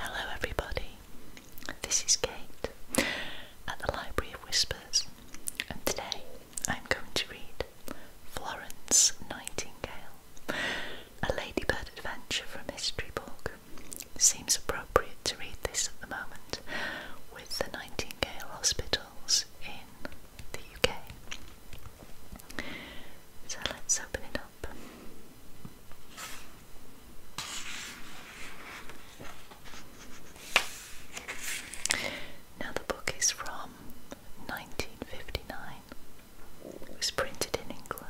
Hello, everybody. This is Kate at the Library of Whispers, and today I'm going to read Florence Nightingale, a Ladybird Adventure from History Book seems appropriate to read this at the moment with the Nightingale Hospitals in the UK. So let's open it up. Now, the book is from 1959. It was printed in England.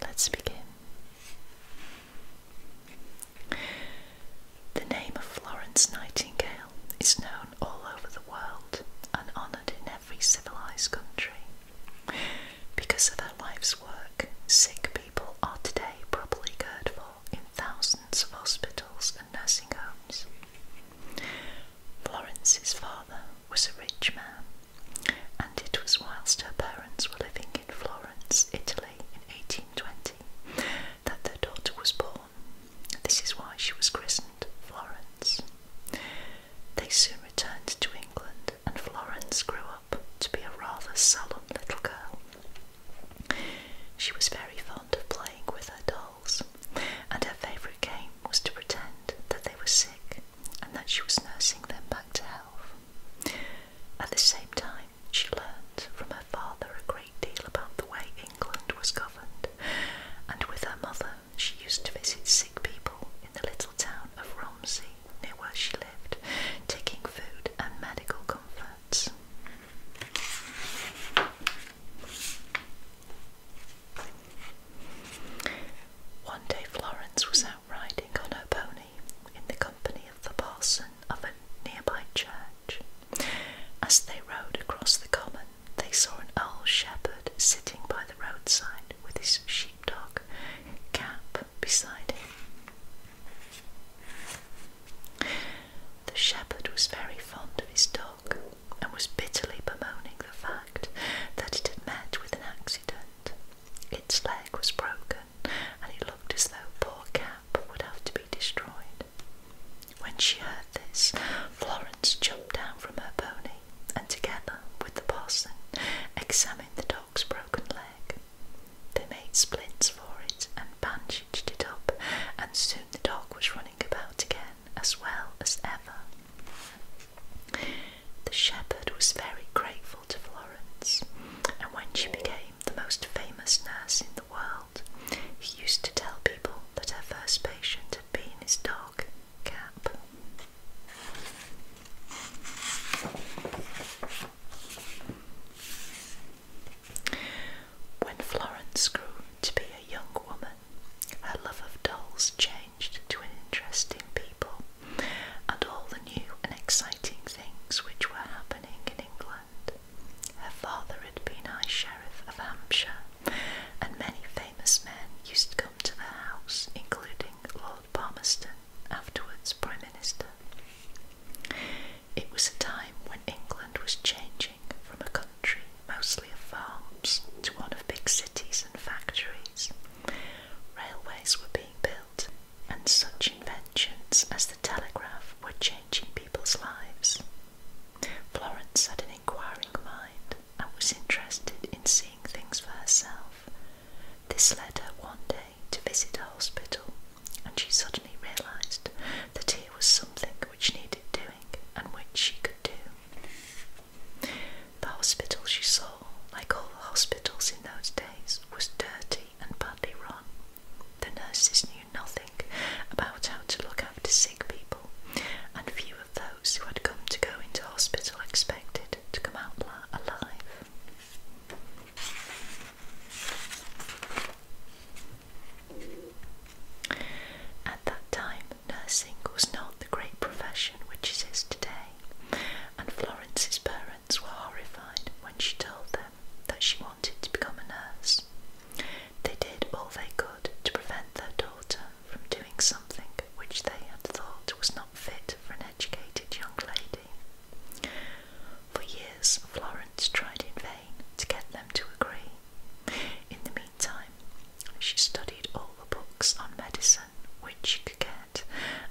Let's begin. The name of Florence Nightingale is known all over the world and honoured in every civilised country. Because of her life's work, sick people are today properly cared for in thousands of hospitals and nursing homes. Florence's father was a rich man and it was whilst her parents were living in Florence, Italy in 1820 that their daughter was born. This is why she was christened Florence. They soon returned to England, and Florence grew up to be a rather solemn little girl. She was very fond of playing with her dolls, and her favourite game was to pretend that they were sick and that she was nursing them back to health. At the same time, she learned from her father a great deal about the way England was governed, and with her mother, she used to visit sick people in the little town of Romsey, near where she lived, taking food and medical comforts. One day Florence was out riding on her pony in the company of the parson of a nearby church. As they rode across the common, they saw an old shepherd sitting by the roadside with his sheepdog cap beside him. The shepherd was very fond of his dog and was bitterly bemoaning the fact that it had met with an accident. Its leg was broken, and it looked as though poor Cap would have to be destroyed. When she heard this, Florence jumped down from her pony and, together with the parson, examined the dog's broken leg. They made splints for it and bandaged it up, and soon the dog was running about again as well as ever. The shepherd was very grateful to Florence, and when she became the most famous nurse in the world, he used to tell people that her first patient had been his dog, Cap. When Florence grew to be a young woman, her love of dolls changed. To interesting people and all the new and exciting things which were happening in England. Her father had been High Sheriff of Hampshire, and many famous men used to come to the house, including Lord Palmerston, afterwards Prime Minister. It was a time when England was changing from a country mostly of farms to one of big cities and factories, railways were being built, and such inventions as the telegraph were changing people's lives. Florence had an inquiring mind and was interested in seeing things for herself. This led her one day to visit a hospital, and she suddenly realised that here was something which needed doing and which she could do. The hospital she saw, like all the hospitals in those days, was dirty and badly run. The nurses knew nothing about how to look after sick people, and few of those who had come to go into hospital expected to come out alive. At that time, nursing was not the great profession which it is today, and Florence's parents were horrified when she told them that she wanted to become a nurse. They did all they could to prevent their daughter from doing something which they had thought was not fit for an educated young lady. For years, Florence tried in vain to get them to agree. In the meantime, she studied all the books on medicine which she could get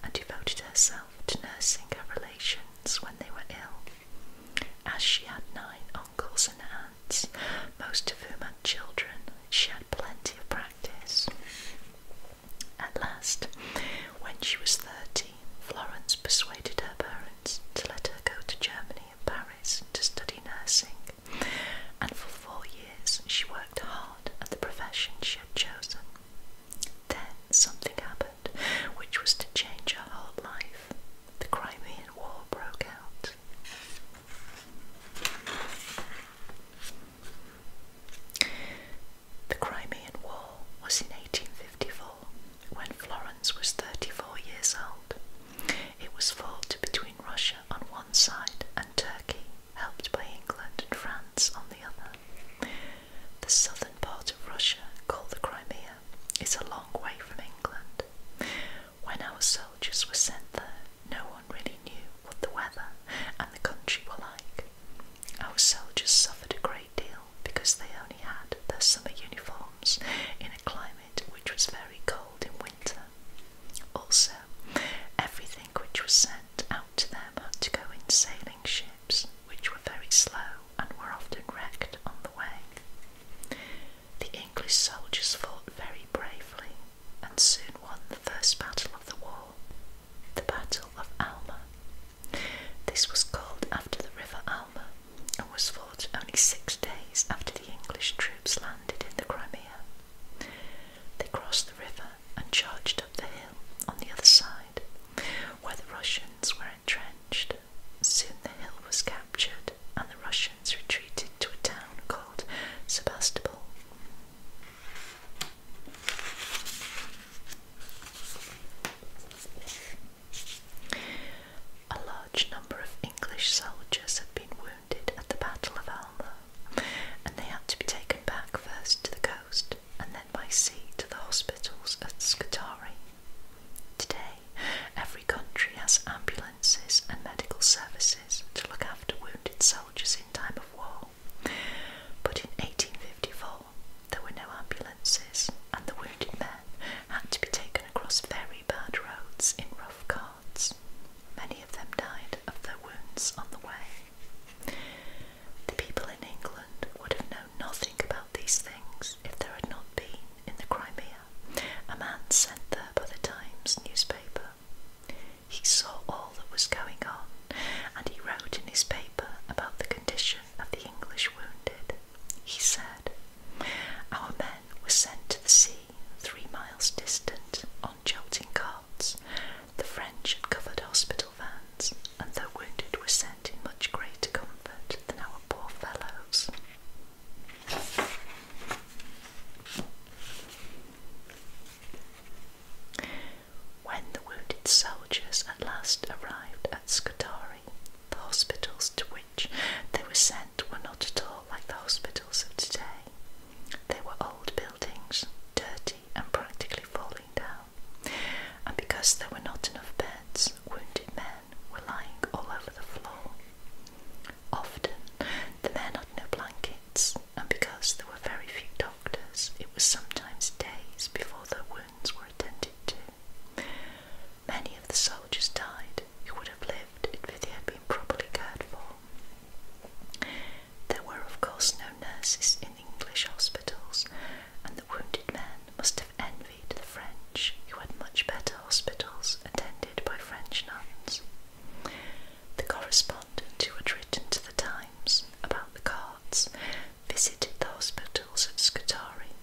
and devoted herself to nursing her relations when they were ill. As she had nine uncles and aunts, most of whom had children, she had plenty of practice. At last, when she was thirteen, Florence persuaded her parents to let her go to Germany and Paris to study nursing, and for four years she worked hard at the profession she had chosen. Then something happened which was to change her whole life. The Crimean War broke out. The Crimean War was in 1854 when Florence was 34 years old. It was fought between Russia on one side and Turkey helped by England and France on the other. The southern part of Russia, called the Crimea, is a long way from England. When our soldiers were sent there, no one really knew what the weather and the country were like. Our soldiers suffered a great deal because they only had their summer uniforms in a climate which was very cold in winter. Also, Everything which was sent out to them had to go in sailing ships, which were very slow and were often wrecked on the way. The English soldiers fought very bravely and soon won the first battle of the war, the Battle of Alma. This was called after the River Alma and was fought only six days after the English troops landed in the Crimea. They crossed the river and charged up the hill on the other side, where the Russians were entrenched. Soon the hill was captured, and the Russians retreated to a town called Sebastopol. A large number of English soldiers had been wounded at the Battle of Alma, and they had to be taken back first to the coast and then by sea to the hospitals at Scutari. Today, every country has ambulances and medical services to look after wounded soldiers in time of war, but in 1854 there were no ambulances and the wounded men had to be taken across very bad roads in rough carts. Many of them died of their wounds on the way. The people in England would have known nothing about these things if there had not been, in the Crimea, a man sent there by the Times newspaper. He saw all that was going on, and he wrote in his paper about the condition of the English wounded. He said, Our men were sent to the sea, three miles distant, on jolting carts, the French had covered hospital vans, and the wounded were sent in much greater comfort than our poor fellows. When the wounded soldiers at last arrived at Scutari, the hospitals to which they were sent were not at all like the hospitals of today. They were old buildings, dirty and practically falling down, and because there were not enough beds, wounded men were lying all over the floor. Often the men had no blankets, and because there were very few doctors, it was sometimes days before their wounds were attended to. Many of the soldiers died who would have lived if they had been properly cared for. There were, of course, no nurses in English hospitals, and the wounded men must have envied the French, who had much better hospitals attended by French nuns. The correspondent who had written to the Times about the carts visited the hospitals at Scutari,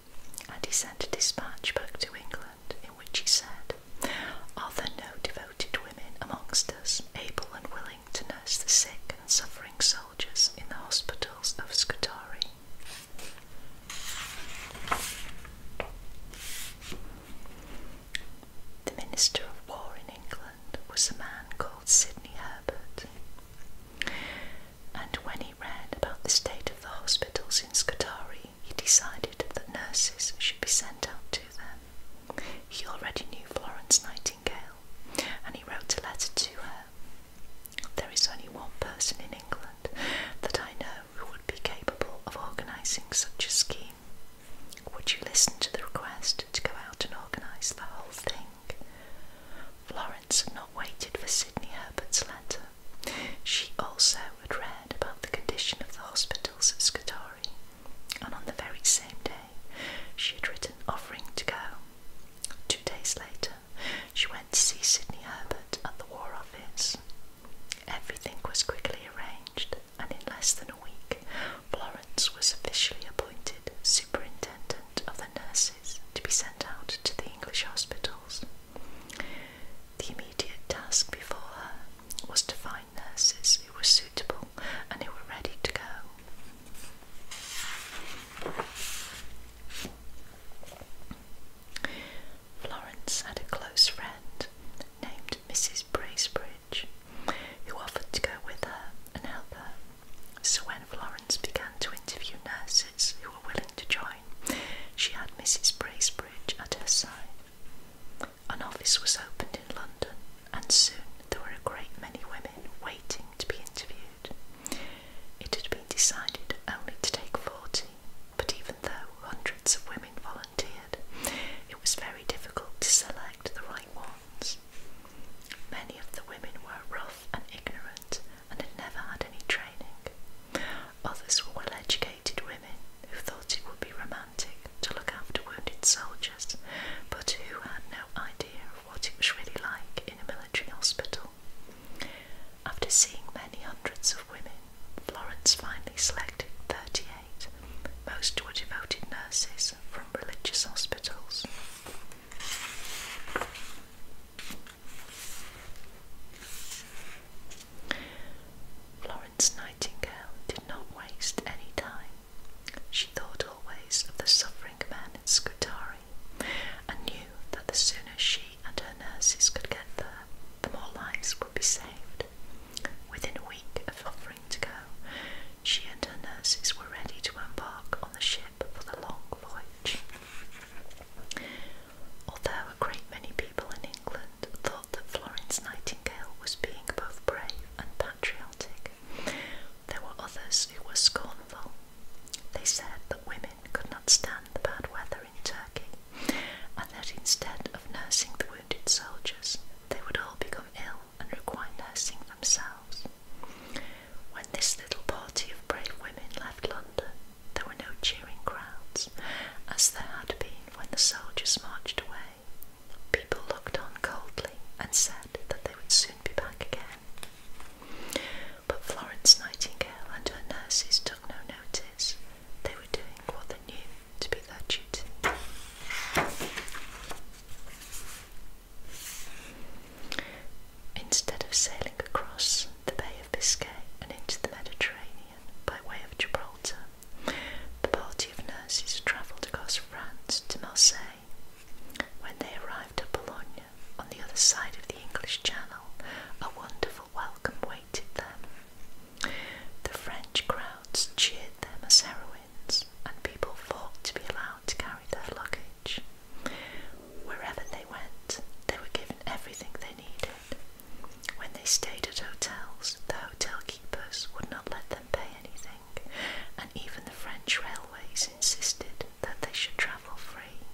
and he sent a dispatch back to England in which he said, Are there no devoted women amongst us, able and willing to nurse the sick and suffering soldiers in the hospitals of Scutari. The Minister of War in England was a man called Sidney Herbert, and when he read about the state of the hospitals in Scutari, he decided that nurses should be sent out to them. He already knew Florence and he wrote a letter to her. There is only one person in England that I know who would be capable of organising such a scheme. Would you listen to the request to go out and organise the whole thing? Florence had not waited for Sidney Herbert's letter. She also had read about the condition of the hospitals at Scutari, and on the very same day she had written offering to go. Two days later, she went to see Sidney Herbert at the War Office. Everything was quickly arranged, and in less than a week, Florence was officially appointed superintendent of the nurses to be sent out to the English hospitals. The immediate task before her was to find nurses who were suitable and who were ready to go. Florence had a close friend named Mrs. Bracebridge who offered to go with her and help her. So when Florence began to interview nurses who were willing to join, she had Mrs. Bracebridge at her side. An office was opened in London and soon there were a great many women waiting to be interviewed. It had been decided only to take fourteen, but even though hundreds of women volunteered, it was very difficult to select the right ones. Many of the women were rough and ignorant and had never had any training. Others were well educated women who thought it would be romantic to look after wounded soldiers, but who had no idea what it was really like in a military hospital. After seeing many hundreds of women, Florence finally selected 38, most were devoted nurses from religious hospitals. Florence Nightingale did not waste any time she thought always of the suffering men in Scutari, and knew that the sooner she and her nurses could get there, the more lives would be saved. Within a week of offering to go, she and her nurses were ready to embark on the ship for the long voyage. Although a great many people in England thought that Florence Nightingale was being both brave and patriotic, there were others who were scornful. They said that women could not stand the bad weather in Turkey, and that instead of nursing the wounded soldiers, they would all become ill and require nursing themselves. When this little party of brave women left London, there were no cheering crowds, as there had been when the soldiers marched away. People looked on coldly and said that they would soon be back again. But Florence Nightingale and her nurses took no notice. They were doing what they knew to be their duty. Instead of sailing across the Bay of Biscay and into the Mediterranean by way of Gibraltar, the party of nurses travelled across France to Marseille when they arrived at Bologna, on the other side of the English Channel, a wonderful welcome awaited them. The French crowds cheered them as heroines, and people fought to be allowed to carry their luggage. Wherever they went, they were given everything they needed. When they stayed at hotels, the hotel keepers would not let them pay anything, and even the French railways insisted that they should travel free.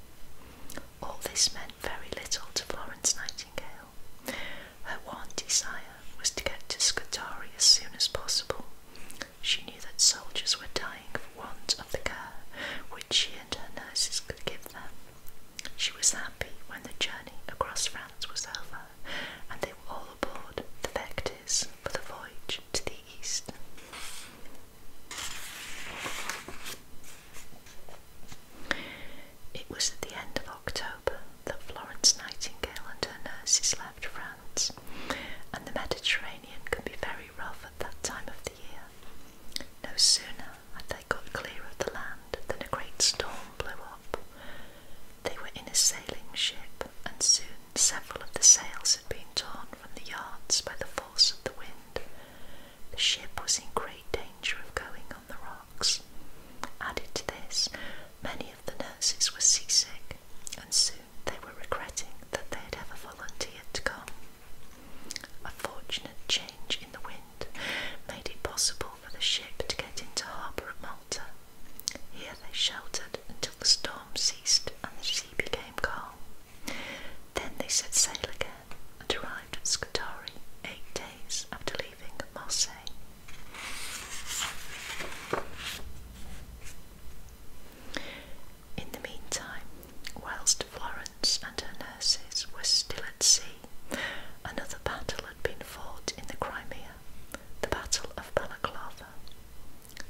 All this meant very little to Florence Nightingale. Her one desire was to get to Scutari as soon as possible. She knew that soldiers were dying for want of the care which she and her nurses could give them. She was happy when the journey across France was over and they were all aboard the Vectis for the voyage to the east. It was at the end of October that Florence Nightingale and her nurses left France, and the Mediterranean can be very rough at that time of the year. No sooner had they got clear of the land than a great storm blew up. They were in a sailing ship, and soon Several of the sails had been torn from the yards by the force of the wind. The ship was in great danger of going on the rocks. Added to this, many of the nurses were seasick, and soon they were regretting that they had ever volunteered to come. A fortunate change in the wind made it possible for the ship to get into harbour at Malta. Here they sheltered until the storm ceased and the sea became same Then they set sail again and arrived at Scutari eight days after leaving Marseille. In the meantime, whilst Florence and her nurses were still at sea, another battle had been fought in the Crimea, the Battle of Balaclava.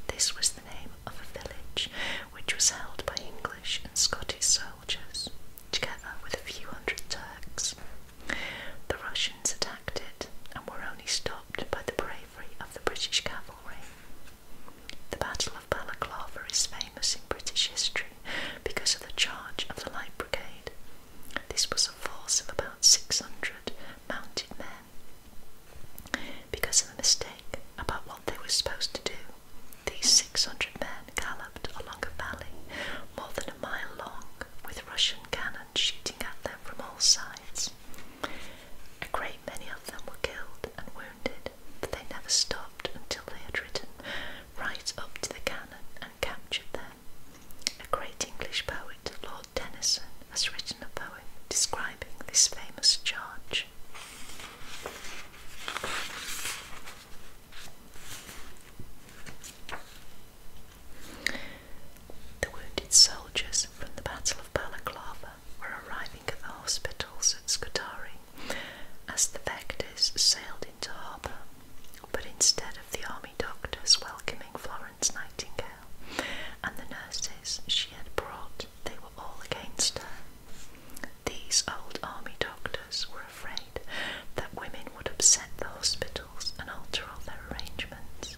This was the name of a village which was held by English and Scottish soldiers, together with a few hundred Turks. The Russians attacked it and were only stopped by the bravery of the British cavalry. The Battle of Balaclava is famous in British history because of the charge of the Light Brigade. This was a force of about 600 mounted men because of a mistake about what they were supposed to do, these 600 men galloped along a valley more than a mile long with Russian cannon shooting at them from all sides. A great many of them were killed and wounded, but they never stopped until they had ridden right up to the cannon and captured them. A great English poet, Lord Tennyson, has written a poem describing this famous charge. The wounded soldiers from the Battle of Balaklava were arriving at the hospitals at Scutari as the Vectors sailed into harbour, but instead of the army doctors welcoming Florence Nightingale and the nurses she had brought, they were all against her. These old army doctors were afraid that women would upset the hospitals and alter all their arrangements.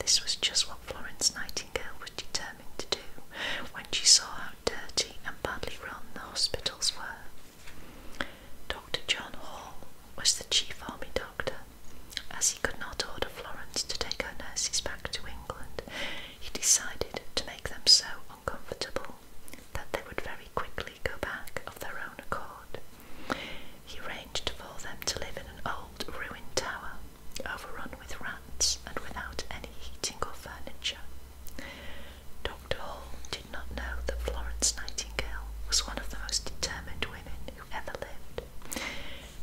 This was just what Florence Nightingale was determined to do when she saw how dirty and badly run the hospitals were. Dr. John Hall was the chief army doctor. As he could not order Florence to take her nurses back to England, he decided to make them so uncomfortable that they would very quickly go back of their own accord. He arranged for them to live in an old ruined tower, overrun with rats and without any heating or furniture. Dr. Hall did not know that Florence Nightingale was one of the most determined women who ever lived.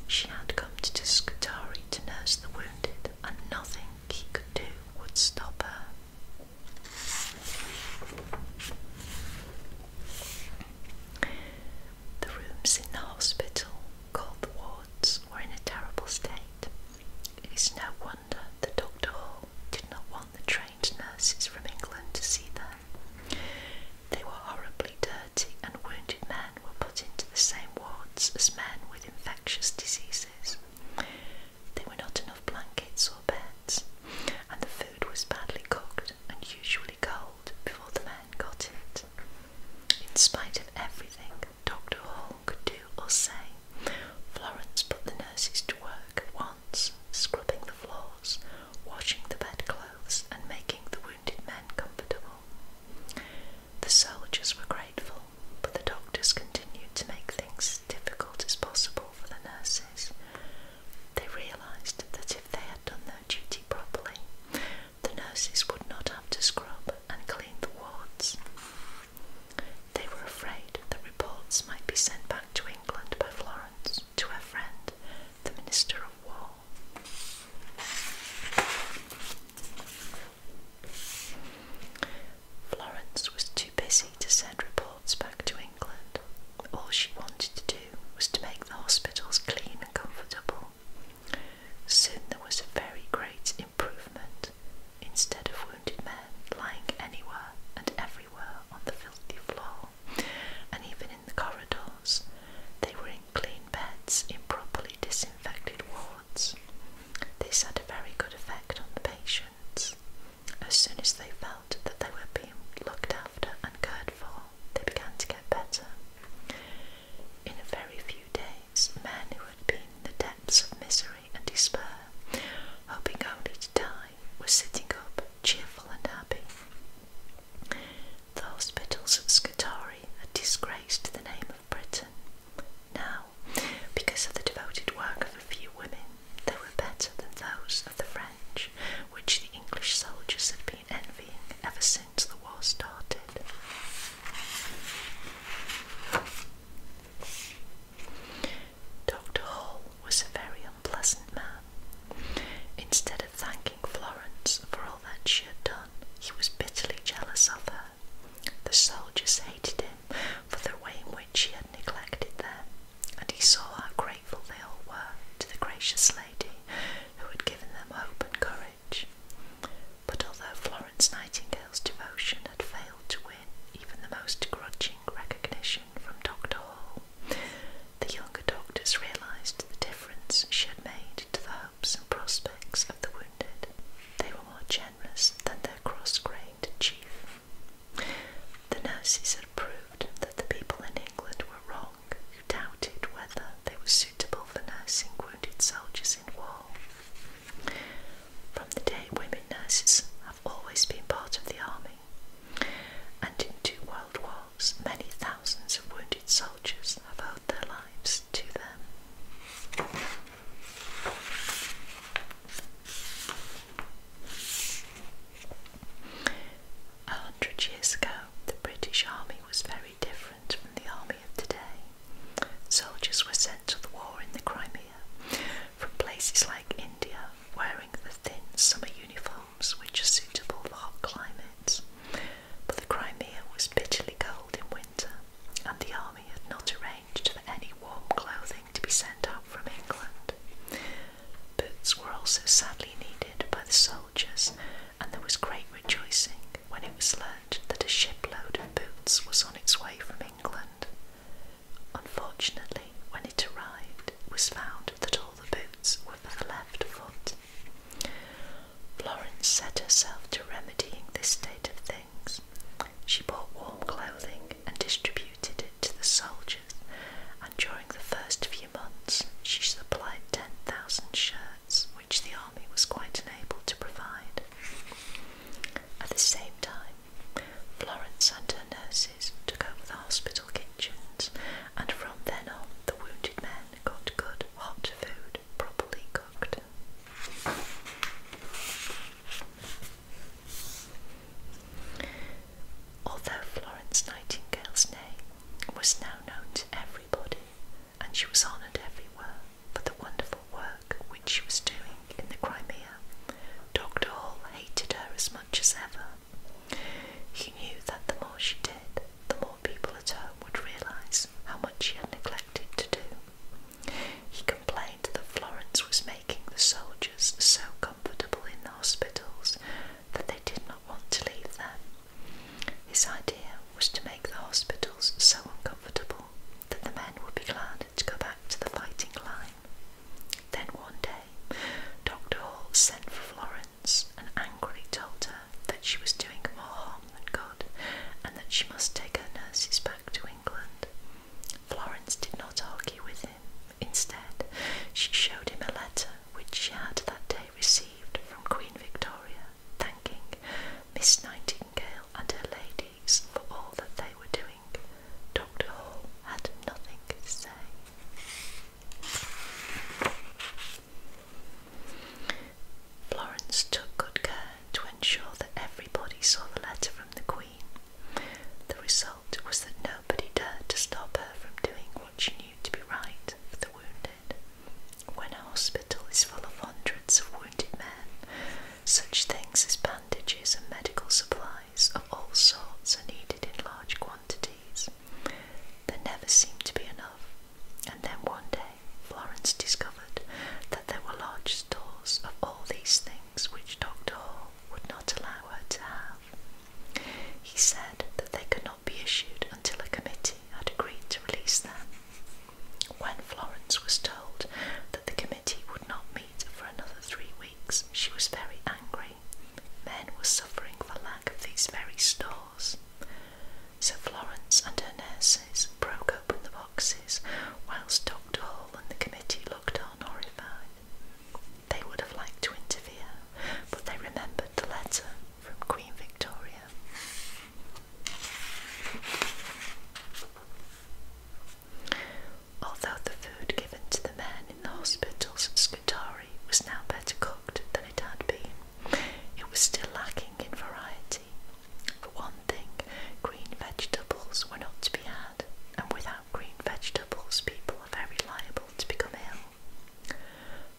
She had come to Tuscatore to nurse the wounded and nothing he could do would stop her. The rooms in the hospital, called the wards, were in a terrible state. It is no wonder the Dr. Hall did not want the trained nurses from England to see them. They were horribly dirty, and wounded men were put into the same wards as men with infections diseases. There were not enough blankets or beds, and the food was badly cooked and usually cold before the men got it. In spite of everything Dr. Hall could do or say, Florence put the nurses to work at once, scrubbing the floors, washing the bedclothes, and making the wounded men comfortable. The soldiers were grateful, but the doctors continued to make things difficult as possible for the nurses. They realised that if they had done their duty properly, the nurses would not have to scrub and clean the wards. They were afraid that reports might be sent back to England by Florence to her friend, the Minister of War. Florence was too busy to send reports back to England. All she wanted to do was to make the hospitals clean and comfortable. Soon there was a very great improvement. Instead of wounded men lying anywhere and everywhere on the filthy floor, and even in the corridors, they were in clean beds in properly disinfected wards. This had a very good effect on the patients. As soon as they felt that they were being looked after and cared for, they began to get better. In a very few days, men who had been in the depths of misery and despair, hoping only to die, were sitting up, cheerful and happy. The hospitals at Scutari are disgrace to the name of Britain, now, because of the devoted work of a few women, they were better than those of the French, which the English soldiers had been envying ever since the war started. Dr. Hall was a very unpleasant man. Instead of thanking Florence for all that she had done, he was bitterly jealous of her the soldiers hated him for the way in which he had neglected them, and he saw how grateful they all were to the gracious lady who had given them hope and courage. But although Florence Nightingale's devotion had failed to win even the most grudging recognition from Dr. Hall, the younger doctors realised the difference she had made to the hopes and prospects of the wounded more generous than their cross-grained chief. The nurses had proved that the people in England were wrong who doubted whether they were suitable for nursing wounded soldiers in war. From the day women nurses have always been part of the army, and in two world wars many thousands of wounded soldiers have owed their lives to them. A hundred years ago, the British Army was very different from the army of today. Soldiers were sent to the war in the Crimea from places like India, wearing the thin summer uniforms which are suitable for hot climates. But the Crimea was bitterly cold in winter and the army had not arranged for any warm clothing to be sent up from England. Boots were also sadly needed by the soldiers, and there was great rejoicing when it was learnt that a shipload of boots was on its way from England. Unfortunately, when it arrived, it was found that all the boots were for the left foot. Florence set herself to remedying this state of things she bought warm clothing and distributed it to the soldiers, and during the first few months, she supplied 10,000 shirts, which the army was quite unable to provide. At the same time, Florence and her nurses took over the hospital kitchens, and from then on, the wounded men got good hot food Although Florence Nightingale's name was now known to everybody, and she was honoured everywhere for the wonderful work which she was doing in the Crimea, Dr. Hall hated her as much as ever. He knew that the more she did, the more people at home would realise how much she had neglected to do. He complained that Florence was making the soldiers so comfortable in the hospitals that they did not want to leave them. His idea was to make the hospitals so uncomfortable that the men would be glad to go back to the fighting line. Then one day, Dr. Hall sent for Florence and angrily told her that she was doing more harm than good and that she must take her nurses back to England. Florence did not argue with him. Instead, she showed him a letter which she had that day received from Queen Victoria, thanking Miss Nightingale and her ladies for all that they were doing. Dr. Hall had nothing to say. Florence took good care to ensure that everybody saw the letter from the Queen. The result was that nobody dared to stop her from doing what she knew to be right for the wounded. When a hospital is full of hundreds of wounded men, such things as bandages and medical supplies of all sorts are needed in large quantities. There never seemed to be enough. And then one day Florence discovered that there were large stores of all these things which Dr. Hall would not allow her to have. He said that they could not be issued until a committee had agreed to release them. When Florence was told that the committee would not meet for another three weeks, she was very angry. Men were suffering for lack of these very stores. So Florence and her nurse boxes, broke open the boxes, whilst Dr. Hall and the committee looked on horrified. They would have liked to interfere, but they remembered the letter from Queen Victoria. Although the food given to the men in the hospitals at Scutari was now better cooked than it had been, it was still lacking in variety. For one thing, green vegetables were not to be had, and without green vegetables, people are very liable to become ill.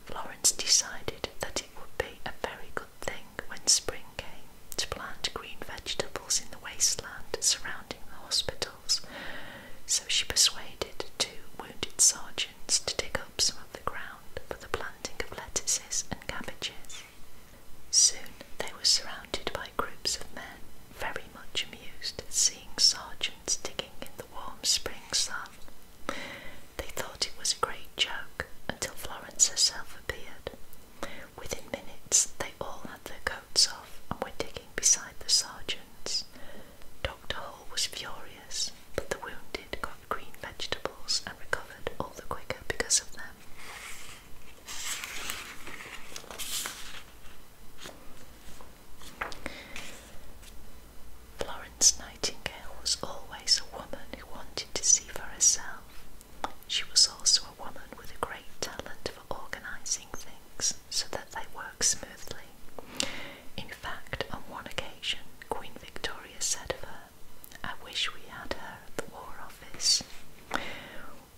Florence decided that it would be a very good thing when spring came to plant green vegetables in the wasteland surrounding the hospitals, so she persuaded two wounded sergeants to dig up some of the ground for the planting of lettuces and cabbages. Soon they were surrounded by groups of men, very much amused at seeing sergeants digging in the warm spring sun. They thought it was a great joke until Florence herself appeared. Within minutes, they all had their coats off and were digging beside the sergeants. Dr. Hall was furious, but the wounded got green vegetables and recovered all the quicker because of them. Florence Nightingale was always a woman who wanted to see for herself. She was also a woman with a great talent for organising things so that they work smoothly. In fact, on one occasion, Queen Victoria said of her, I wish we had her at the War Office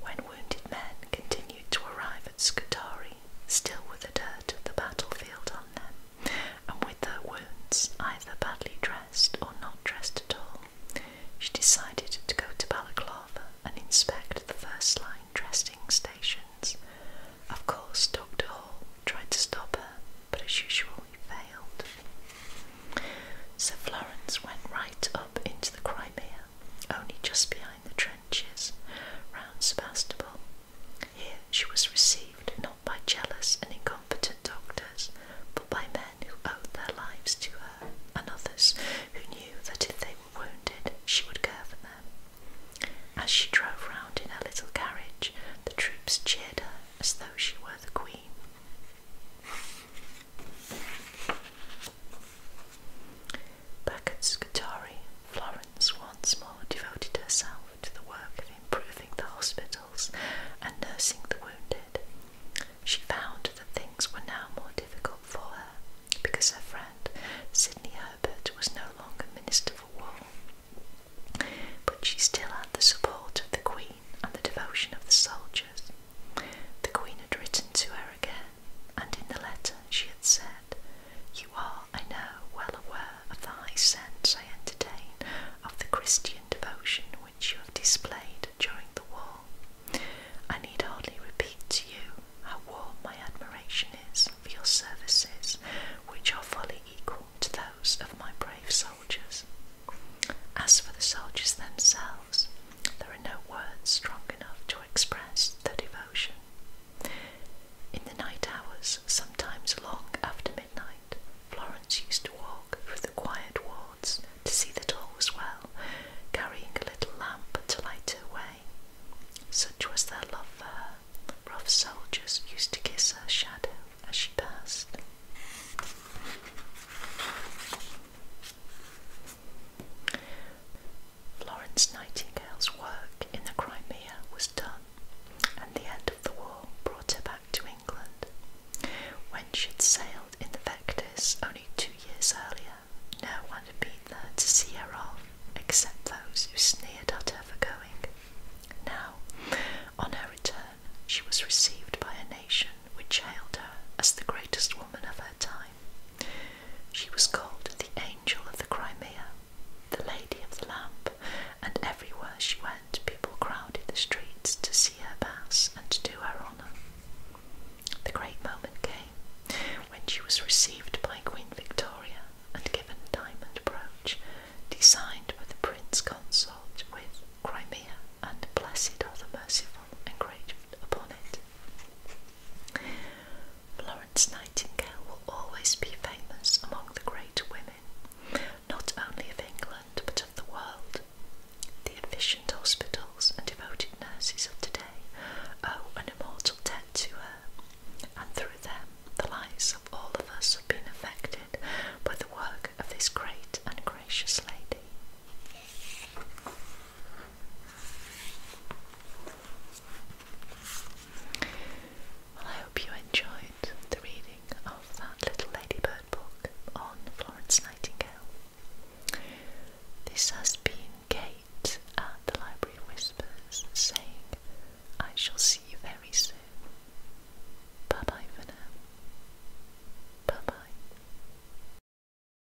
when wounded men continued to arrive at Scutari, still with the dirt of the battlefield on them, and with their wounds either badly dressed or not dressed at all, she decided to go to Balaclava and inspect the first line dressing stations. Of course, Dr. Hall tried to stop her, but as usual, he failed. So Florence went right up into the Crimea only just behind the trenches round Sebastopol. Here she was received not by jealous and incompetent doctors, but by men who owed their lives to her, and others who knew that if they were wounded, she would care for them. As she drove round in her little carriage, the troops cheered her as though she were the queen. Back at Scutari, Florence once more devoted herself to the work of improving the hospitals and nursing the wounded. She found that things were now more difficult for her because her friend Sidney Herbert was no longer Minister for War, but she still had the support of the Queen and the devotion of the soldiers. The Queen had written to her again and in the letter she had said, You are, I know, well aware of the high sense I entertain of the Christian devotion which you have displayed during the war. I need hardly repeat to you how warm my admiration is for your services, which are fully equal to those of my brave soldiers. As for the soldiers themselves, there are no words strong enough to express the devotion. In the night hours, sometimes long after midnight, Florence used to walk through the quiet wards to see that all was well, carrying a little lamp to light her way. Such was their love for her. Rough soldiers used to kiss her shadow as she passed. Florence Nightingale's work in the Crimea was done, and the end of the war brought her back to England. When she'd sailed in the Vectis only two years earlier, no one had been there to see her off except those who sneered at her for going. Now, on her return, she was received by a nation which hailed her as the greatest woman of her time. She was called the Angel of the Crimea, the Lady of the Lamp, and everywhere she went, people crowded the streets to see her pass and to do her honour. The great moment came when she was received by Queen Victoria and given a diamond brooch designed by the Prince Consort with Crimea and Blessed of the merciful and grateful. Florence Nightingale will always be famous among the great women, not only of England but of the world. The efficient hospitals and devoted nurses of today owe an immortal debt to her, and through them the lives of all of us have been affected by the work of this great and gracious lady. Well, I hope you enjoyed the reading of that little ladybird book on Florence Nightingale. This has been Kate at the Library of Whispers saying, I shall see you very soon. Bye bye for now. Bye bye.